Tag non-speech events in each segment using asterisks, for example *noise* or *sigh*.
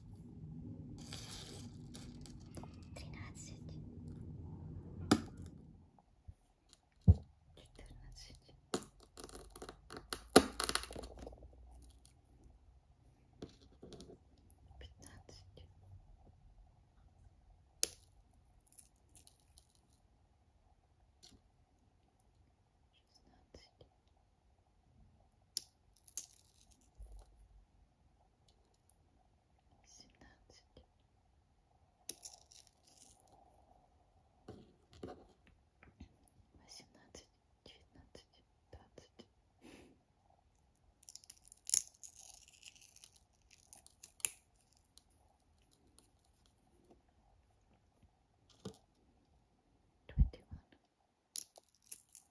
тринадцать, четырнадцать, пятнадцать. Шестнадцать. Семнадцать семнадцать, восемнадцать, девятнадцать, двадцать. Twenty-one,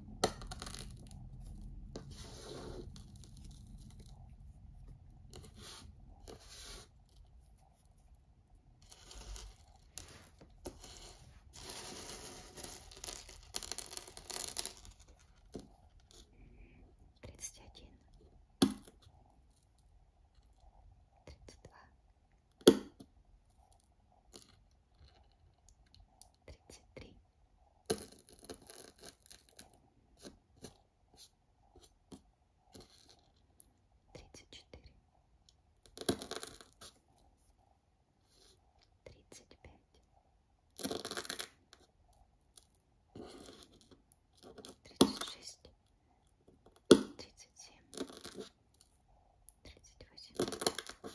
тридцать один, тридцать два, тридцать три тридцать четыре тридцать пять тридцать шесть тридцать семь тридцать восемь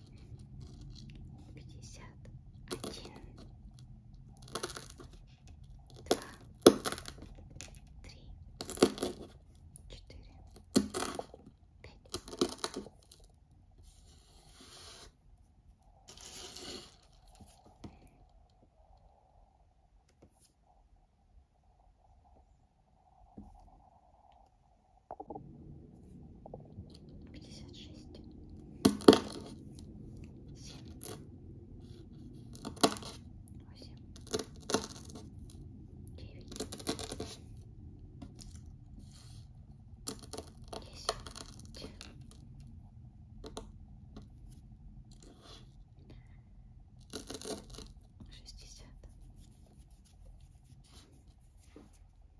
пятьдесят один, два, три, четыре, пять пятьдесят шесть, семь, восемь, девять, десять. Шестьдесят,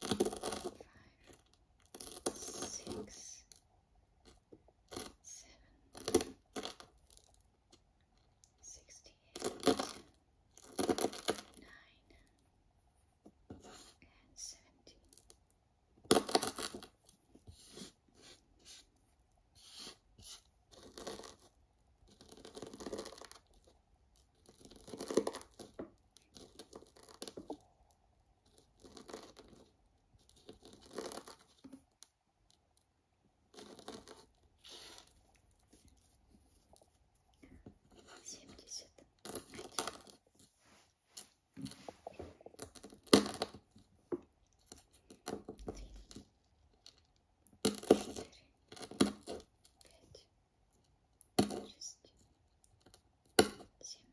five, six, seven, sixty-eight, nine, and seventeen. Eighty-nine, семьдесят один три четыре пять шесть семь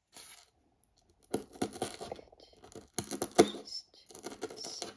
пять, шесть, семь, восемь, девять, десять.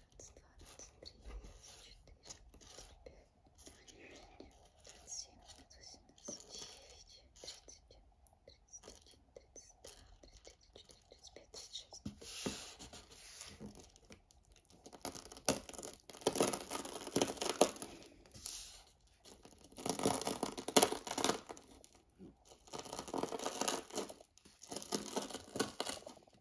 девятнадцать, двадцать три, двадцать четыре, двадцать пять, двадцать семь, восемнадцать, тридцать, тридцать один, тридцать два, тридцать четыре, тридцать пять, тридцать шесть.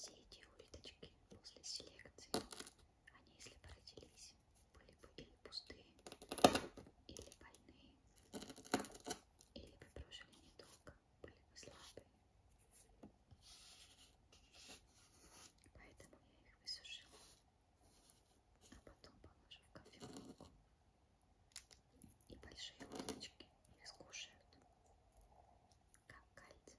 Все эти улиточки после селекции, они если бы родились, были бы или пустые, или больные, или бы прожили недолго, были бы слабые. Поэтому я их высушила, а потом положу в кофеварку. И большие улиточки их скушают, как кальций.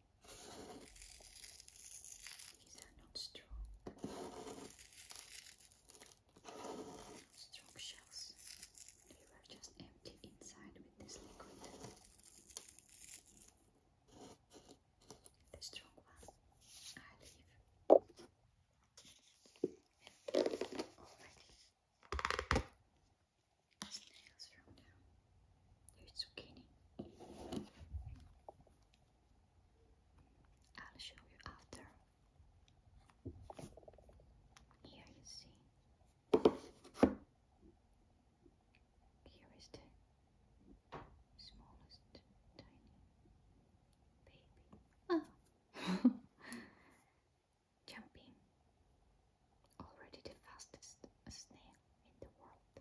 These are not strong. Not strong shells. They were just empty inside with this liquid. The strong one I leave. And already snails from them. There's zucchini. I'll show you after. Here you see. Here is the smallest tiny baby. Oh. *laughs* Jumping. Already the fastest snail in the world.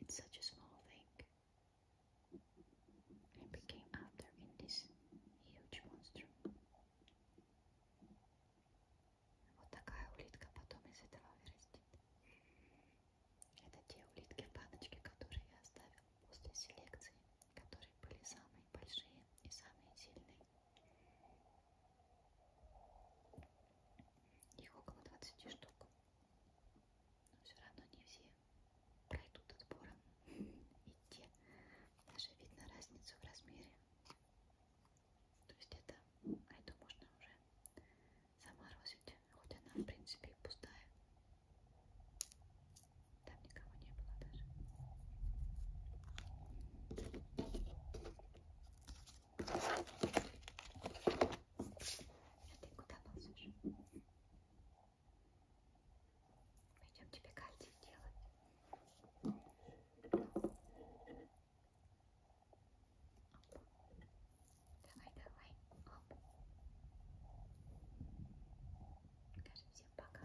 It's such a small thing. I became after in this huge monster. Вот такая улитка потом из этого вырастет. Это те улитки в баночке, которые я оставил после селекции, которые были самые большие и самые сильные. Их около 20 штук. Но все равно не все пройдут отбором. И те даже видно разницу в размере. То есть это, а эту можно уже заморозить, хоть она в принципе и пустая. Там никого не было даже. А ты куда ползешь? Пойдем тебе кальций делать. Давай, давай. Оп. Скажи всем пока.